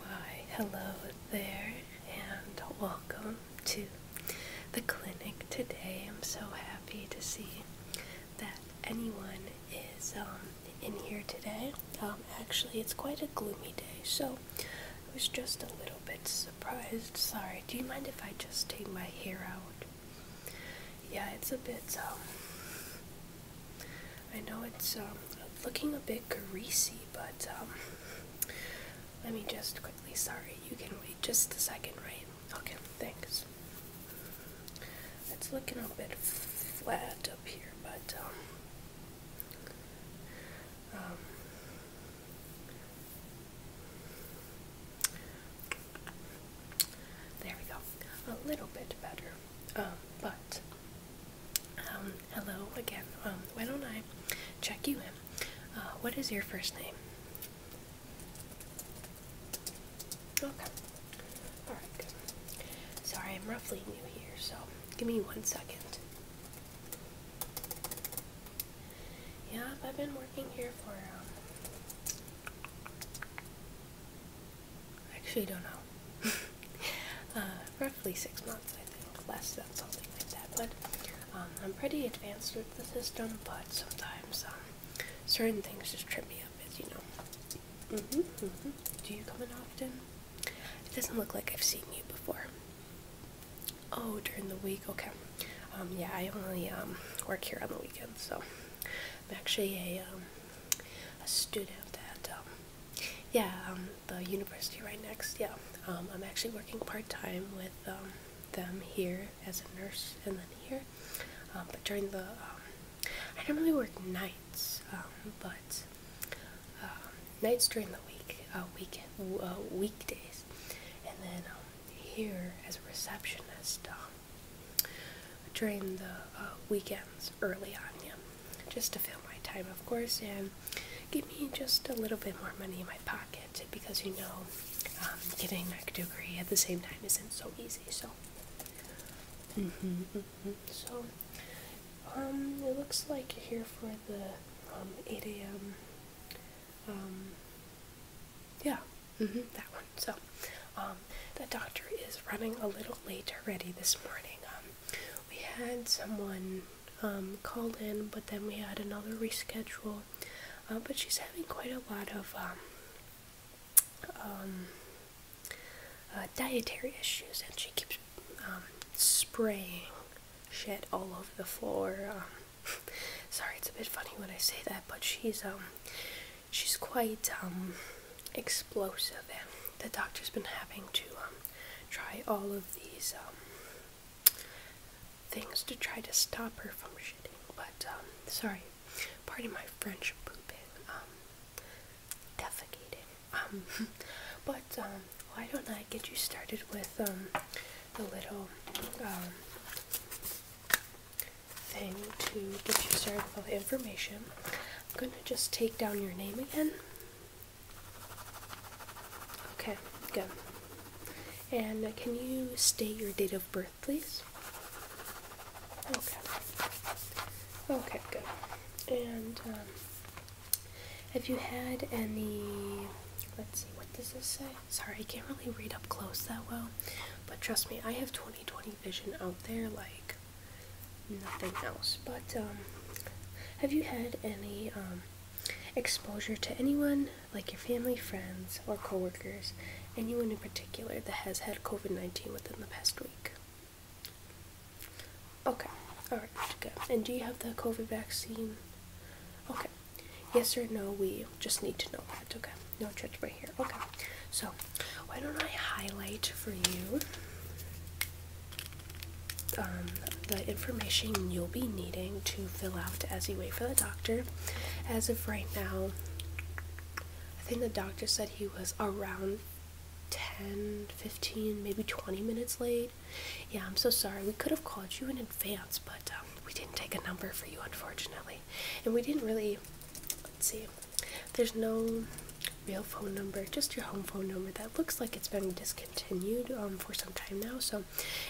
Why, hello there, and welcome to the clinic today. I'm so happy to see that anyone is um, in here today. Um, actually, it's quite a gloomy day, so I was just a little bit surprised. Sorry, do you mind if I just take my hair out? Yeah, it's a bit, um, I know it's um, looking a bit greasy, but let me just quickly, sorry, you can wait just a second, right? Okay, thanks. It's looking a bit flat up here, but um, um, there we go. A little bit better, um, but hello again. why don't I check you in? Uh, what is your first name? Okay. Alright, Sorry, I'm roughly new here, so give me one second. Yeah, I've been working here for, um, actually don't know. Uh, roughly six months, I think, less than something like that, but, um, I'm pretty advanced with the system, but sometimes, um, certain things just trip me up, as you know. Mm-hmm, mm-hmm. Do you come in often? It doesn't look like I've seen you before. Oh, during the week, okay. Um, yeah, I only um, work here on the weekends, so I'm actually a, um, a student at, yeah, the university right next, yeah. I'm actually working part-time with them here as a nurse and then here, but during the I normally work nights, um, but um, nights during the week, uh, uh, weekdays, and then um, here as a receptionist um, during the uh, weekends early on, yeah, just to fill my time, of course, and give me just a little bit more money in my pocket because you know getting a degree at the same time isn't so easy. So so mm -hmm, mm so um it looks like you're here for the um, 8 a.m um, yeah mm-hmm, that one so um the doctor is running a little late already this morning um we had someone um called in but then we had another reschedule uh, but she's having quite a lot of um um, uh, dietary issues, and she keeps um, spraying shit all over the floor. Um, sorry, it's a bit funny when I say that, but she's she's quite explosive, and the doctor's been having to try all of these things to try to stop her from shitting. But sorry, pardon my French pooping, um, defecating, um, but, um, why don't I get you started with, the little, thing to get you started with all the information. I'm gonna just take down your name again. Okay, good. And can you state your date of birth please? Okay. Okay, good. And um, have you had any? Let's see. What does this say? Sorry, I can't really read up close that well. But trust me, I have 20/20 vision out there, like nothing else. But um, have you had any um, exposure to anyone like your family, friends, or coworkers, anyone in particular that has had COVID 19 within the past week. Okay, alright, good. And do you have the COVID vaccine? Okay. Yes or no, we just need to know that, okay? No right here. Okay, so why don't I highlight for you um, the information you'll be needing to fill out as you wait for the doctor. As of right now, I think the doctor said he was around 10, 15, maybe 20 minutes late. Yeah, I'm so sorry. We could have called you in advance, but um, we didn't take a number for you, unfortunately. And we didn't really, let's see, there's no real phone number, just your home phone number. That looks like it's been discontinued um, for some time now. So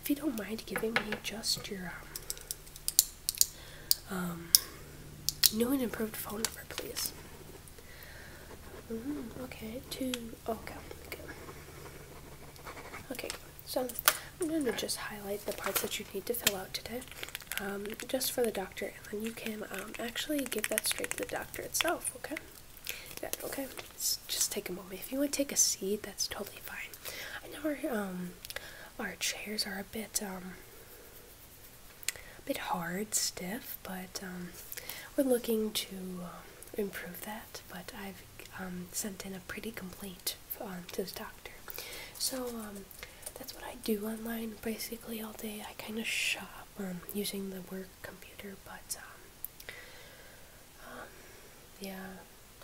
if you don't mind giving me just your um, um, new and improved phone number, please. Mm-hmm, okay, two. Oh, okay, good. Okay, so I'm going to just highlight the parts that you need to fill out today, um, just for the doctor, and then you can um, actually give that straight to the doctor itself, okay? That, okay, just take a moment. If you want to take a seat, that's totally fine. I know um, our chairs are a bit um, a bit hard, stiff, but um, we're looking to uh, improve that. But I've sent in a pretty complaint to the doctor, so that's what I do online basically all day. I kind of shop using the work computer, but um, yeah,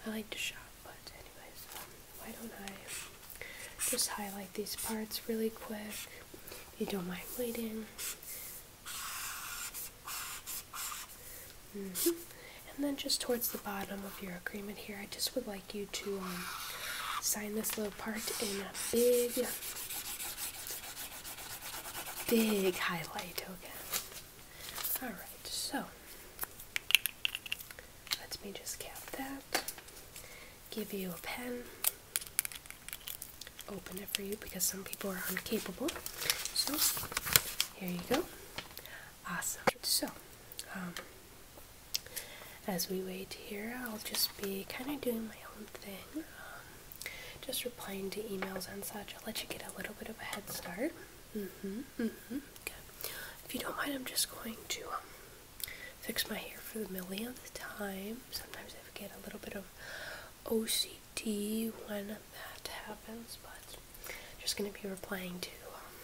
I like to shop, but anyway, um, why don't I just highlight these parts really quick, if you don't mind waiting. Mm-hmm. And then just towards the bottom of your agreement here, I just would like you to um, sign this little part in a big, big highlight, okay? Alright, so let me just cap that. Give you a pen. Open it for you because some people are incapable. So here you go. Awesome. So, um, as we wait here, I'll just be kind of doing my own thing, um, just replying to emails and such. I'll let you get a little bit of a head start. Mm-hmm. Mm-hmm. Okay. If you don't mind, I'm just going to um, fix my hair for the millionth time. Sometimes I get a little bit of OCD when that happens, but I'm just gonna be replying to um,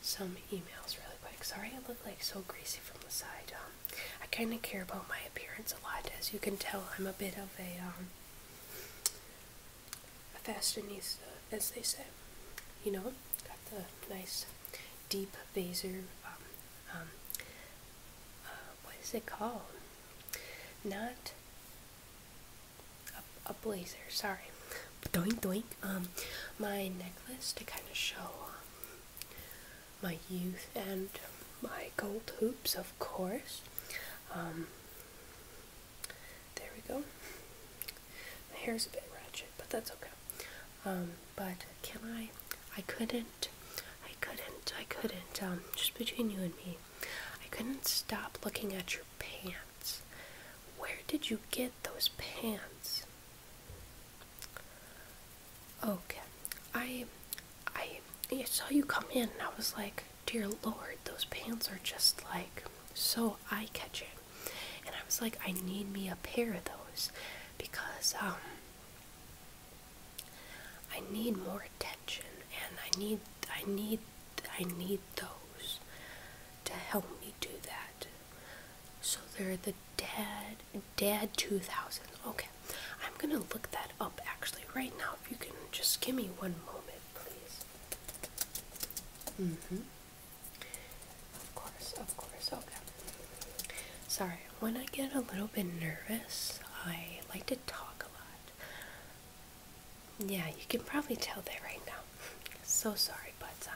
some emails really quick. Sorry, I look like so greasy from the side. Um, I kind of care about my appearance a lot, as you can tell. I'm a bit of a um, a fashionista, uh, as they say. You know, got the nice deep blazer. Um, um, uh, what is it called? Not a, blazer. Sorry. Doink doink. Um, my necklace to kind of show my youth and my gold hoops, of course. There we go. My hair's a bit ratchet, but that's okay. Um, but can I? I couldn't. I couldn't. I couldn't. Um, just between you and me, I couldn't stop looking at your pants. Where did you get those pants? Okay. I, I, I saw you come in, and I was like, dear lord, those pants are just like so eye catching. And I was like, I need me a pair of those because um, I need more attention and I need I need I need those to help me do that. So they're the dad dad 2000. Okay. I'm going to look that up actually right now if you can just give me one moment please. Mm-hmm. Of course, of course, okay. Sorry, when I get a little bit nervous, I like to talk a lot. Yeah, you can probably tell that right now. So sorry, but uh,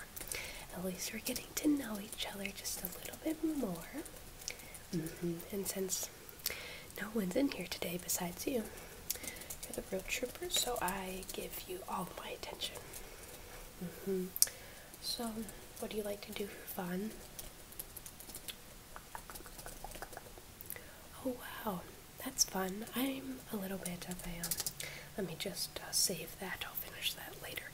at least we're getting to know each other just a little bit more. Mm -hmm. And since no one's in here today besides you. You're the real trooper, so I give you all my attention. Mm-hmm. So, what do you like to do for fun? Oh wow, that's fun. I'm a little bit of a, um, let me just uh, save that. I'll finish that later.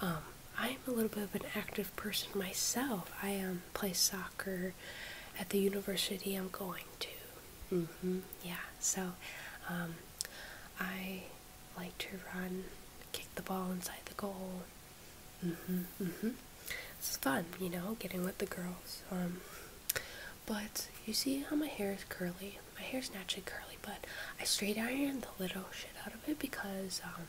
Um, I'm a little bit of an active person myself. I um, play soccer at the university I'm going to. Mm-hmm. Yeah. So, um, I like to run, kick the ball inside the goal. Mm-hmm. Mm-hmm. This is fun, you know, getting with the girls. Um, but you see how my hair is curly. My hair is naturally curly, but I straight iron the little shit out of it because um,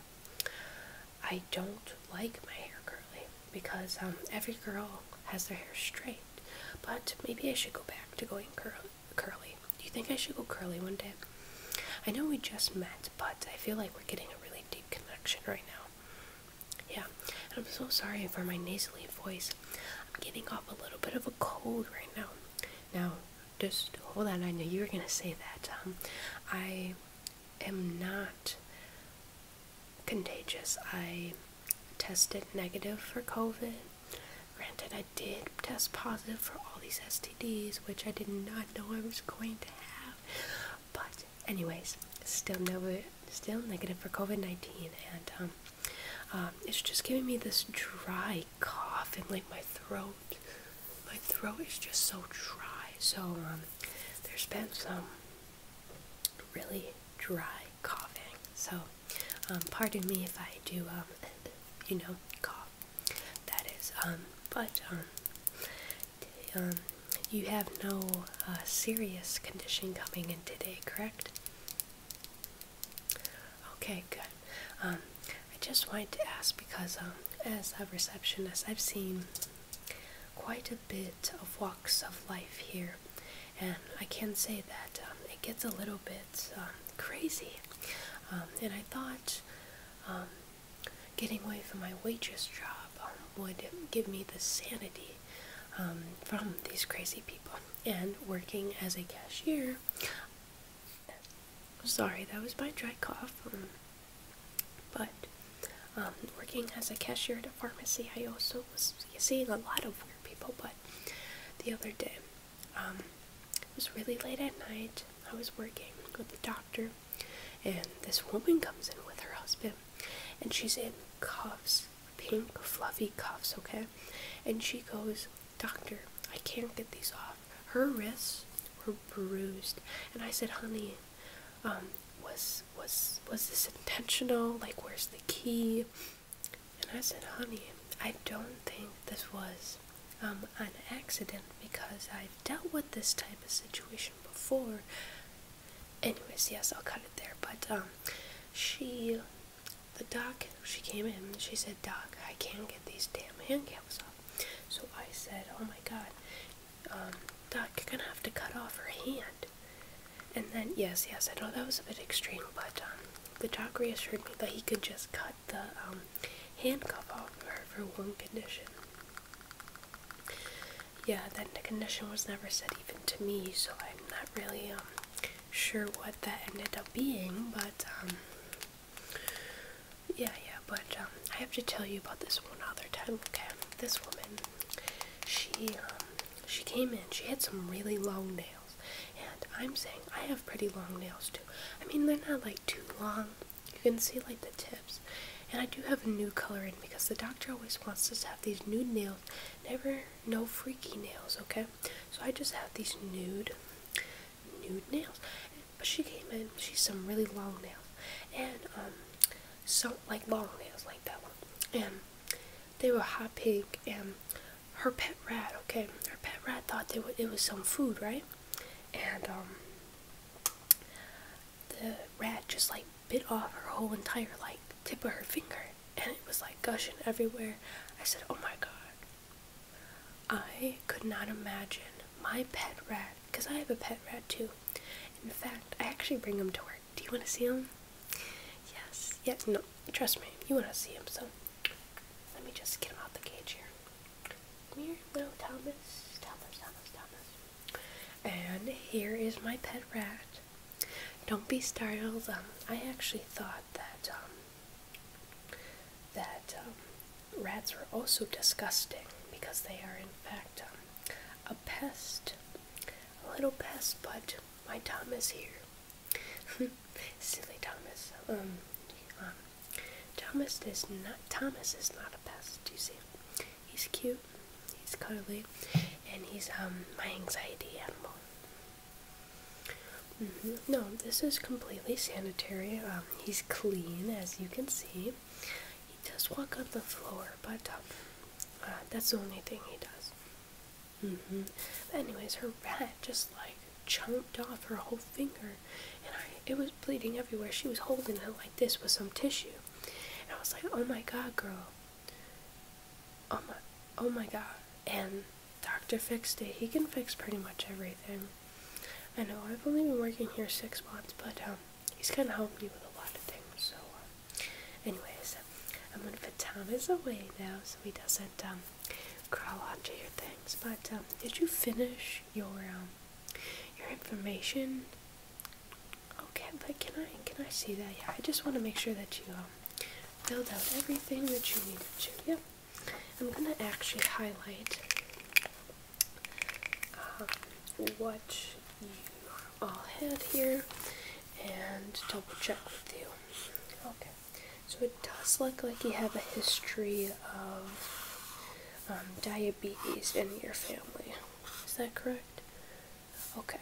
I don't like my hair curly because um, every girl has their hair straight. But maybe I should go back to going cur curly. Do you think I should go curly one day? I know we just met, but I feel like we're getting a really deep connection right now. Yeah, and I'm so sorry for my nasally voice. I'm getting off a little bit of a cold right now. Now, just hold on. I knew you were gonna say that. Um, I am not contagious. I tested negative for COVID. Granted, I did test positive for all these STDs, which I did not know I was going to have. But, anyways, still never, still negative for COVID nineteen, and um, um, it's just giving me this dry cough and like my throat. My throat is just so dry. So um, there's been some really dry coughing. So, um, pardon me if I do, um, you know, cough. That is, um, but, you have no uh, serious condition coming in today, correct? Okay, good. I just wanted to ask because, as a receptionist, I've seen quite a bit of walks of life here, and I can say that um, it gets a little bit um, crazy. Um, and I thought getting away from my waitress job would give me the sanity from these crazy people. And working as a cashier, sorry, that was my dry cough. But um, working as a cashier at a pharmacy, I also was seeing a lot of weird people. But the other day, um, it was really late at night. I was working with the doctor, and this woman comes in with her husband, and she's in cuffs, pink, fluffy cuffs, okay? And she goes, Doctor, I can't get these off. Her wrists were bruised. And I said, Honey, um, was was was this intentional? Like, where's the key? And I said, honey, I don't think this was um, an accident because I've dealt with this type of situation before. Anyways, yes, I'll cut it there. But um, she, the doc, she came in. She said, "Doc, I can't get these damn handcuffs off." So I said, "Oh my God, um, Doc, you're gonna have to cut off her hand. And then, yes, yes, I know that was a bit extreme, but um, the doc reassured me that he could just cut the um, handcuff off her for one condition. Yeah, then the condition was never said even to me, so I'm not really um, sure what that ended up being, but yeah, yeah, but um, I have to tell you about this one other time, okay? This woman, she, um, she came in, she had some really long nails, and I'm saying I have pretty long nails too. I mean, they're not like too long, you can see like the tips, and I do have a new color in because the doctor always wants us to have these nude nails, never, no freaky nails, okay? So I just have these nude, nude nails, but she came in, she's some really long nails. And, um, so, like long nails, like that one. And they were hot pink, and her pet rat, okay, her pet rat thought that it was some food, right? And, um, the rat just, like, bit off her whole entire, like, tip of her finger. And it was, like, gushing everywhere. I said, oh my god. I could not imagine my pet rat because I have a pet rat too. In fact, I actually bring him to work. Do you want to see him? Yes. Yes. No. Trust me. You want to see him. So let me just get him out the cage here. Come here, little Thomas. Thomas. Thomas. Thomas. And here is my pet rat. Don't be startled. Um, I actually thought that um, that um, Rats are also disgusting because they are, in fact, um, a pest. A little pest, but my Tom is here. Silly Thomas. Um, um, Thomas is not. Thomas is not a pest. Do You see, he's cute, he's cuddly, and he's um my anxiety animal. Mm-hmm. No, this is completely sanitary. Um, he's clean, as you can see. He does walk on the floor, but um, uh, that's the only thing he does. Mm-hmm. But anyways, her rat just like chomped off her whole finger, and it was bleeding everywhere. She was holding it like this with some tissue, and I was like, "Oh my God, girl! Oh my, oh my God!" And doctor fixed it. He can fix pretty much everything. I know I've only been working here six months, but um, he's kind of helped me with a lot of things. So, um, anyways, I'm gonna put Thomas away now so he doesn't um, crawl onto your things. But um, did you finish your um, your information? Okay, but can I can I see that? Yeah, I just want to make sure that you um, filled out everything that you needed to. Yep. I'm going to actually highlight um, what you all had here and double check with you. Okay, so it does look like you have a history of um, diabetes in your family. Is that correct? Okay,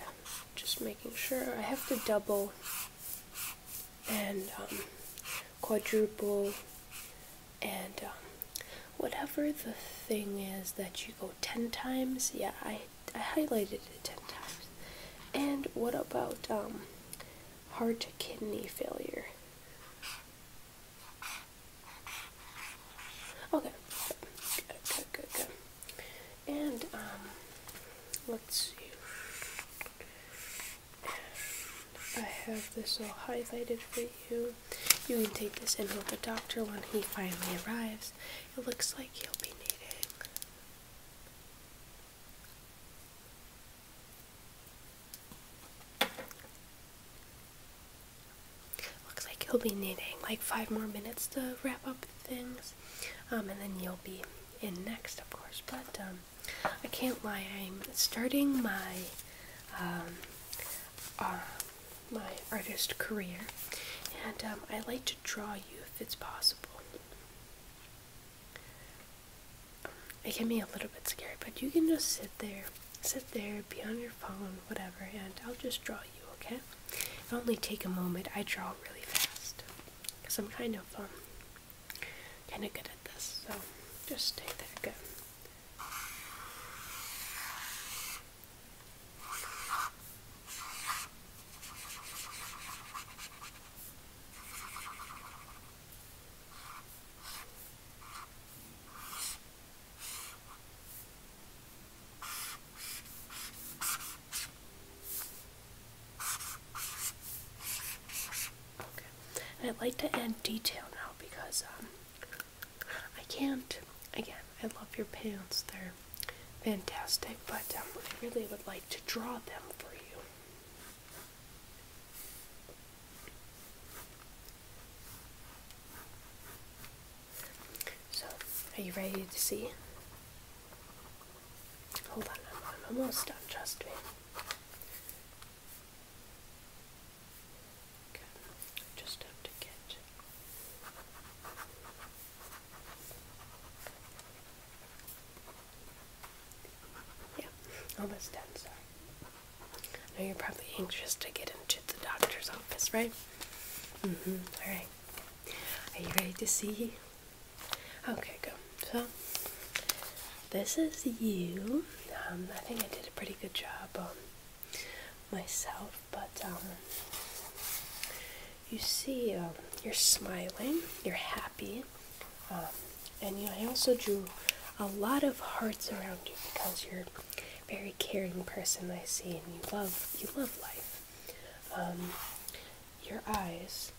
just making sure. I have to double and um, quadruple and um, whatever the thing is that you go 10 times yeah i i highlighted it 10 times and what about um, heart kidney failure okay good good good, good. and um, let's see I have this all highlighted for you. You can take this and with the doctor when he finally arrives. It looks like he'll be needing Looks like he'll be needing like five more minutes to wrap up things. Um, and then you'll be in next, of course. But um, I can't lie. I'm starting my um, uh, my artist career, and um, I like to draw you if it's possible. It can be a little bit scary, but you can just sit there, sit there, be on your phone, whatever, and I'll just draw you. Okay? it only take a moment. I draw really fast because I'm kind of um, kind of good at this, so just stay there. good. Okay. And I'd like to add detail now because um, I can't. Again, I love your pants. They're fantastic, but um, I really would like to draw them for you. So, are you ready to see? Hold on, I'm almost done, trust me. Okay, I just have to get yeah, almost done, sorry. Now you're probably anxious to get into the doctor's office, right? Mm-hmm. Alright. Are you ready to see Okay, good. So this is you. Um, I think I did a pretty good job on um, myself, but um, you see, you're smiling, you're happy, and I also drew a lot of hearts around you because you're a very caring person. I see, and you love you love life. your eyes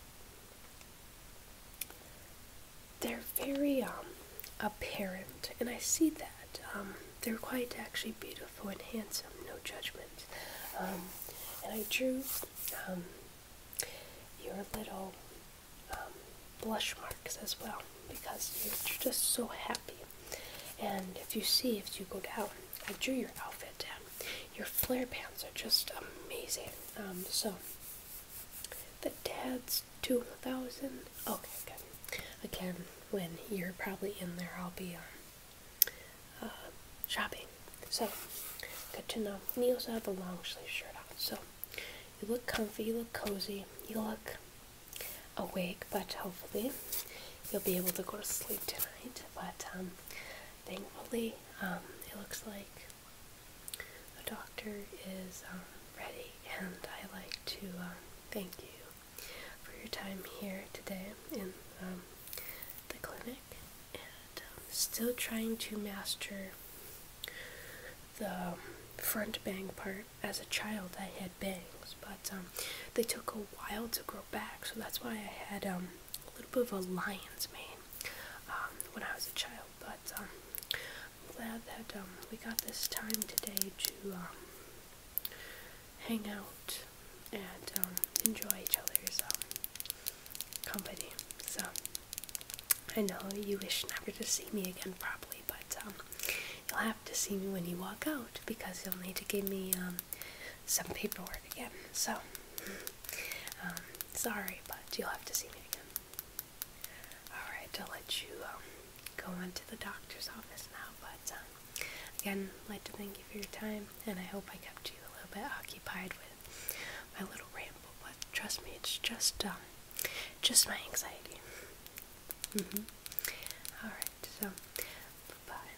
they're very um, apparent, and I see that. Um, they're quite actually beautiful and handsome, no judgment. Um, and I drew your little blush marks as well because you're just so happy. And if you see, if you go down, I drew your outfit down. Your flare pants are just amazing. so the dad's 2000. Okay, good. Again, when you're probably in there, I'll be um, uh, shopping. So, good to know. And you also have a long sleeve shirt on. So, you look comfy, you look cozy, you look awake, but hopefully you'll be able to go to sleep tonight. But um, thankfully, um, it looks like the doctor is um, ready, and I like to um, thank you for your time here today in um, the clinic. And still trying to master the front bang part. As a child, I had bangs, but they took a while to grow back, so that's why I had a little bit of a lion's mane um, when I was a child, but um, I'm glad that um, we got this time today to um, hang out and um, enjoy each other's um, company. So I know you wish never to see me again, probably, but um, you'll have to see me when you walk out because you'll need to give me um, some paperwork again. So. Um, sorry, but you'll have to see me again. Alright, I'll let you um, go on to the doctor's office now, but um, again, I'd like to thank you for your time, and I hope I kept you a little bit occupied with my little ramble, but trust me, it's just, just my anxiety. Mm-hmm. Alright, so, bye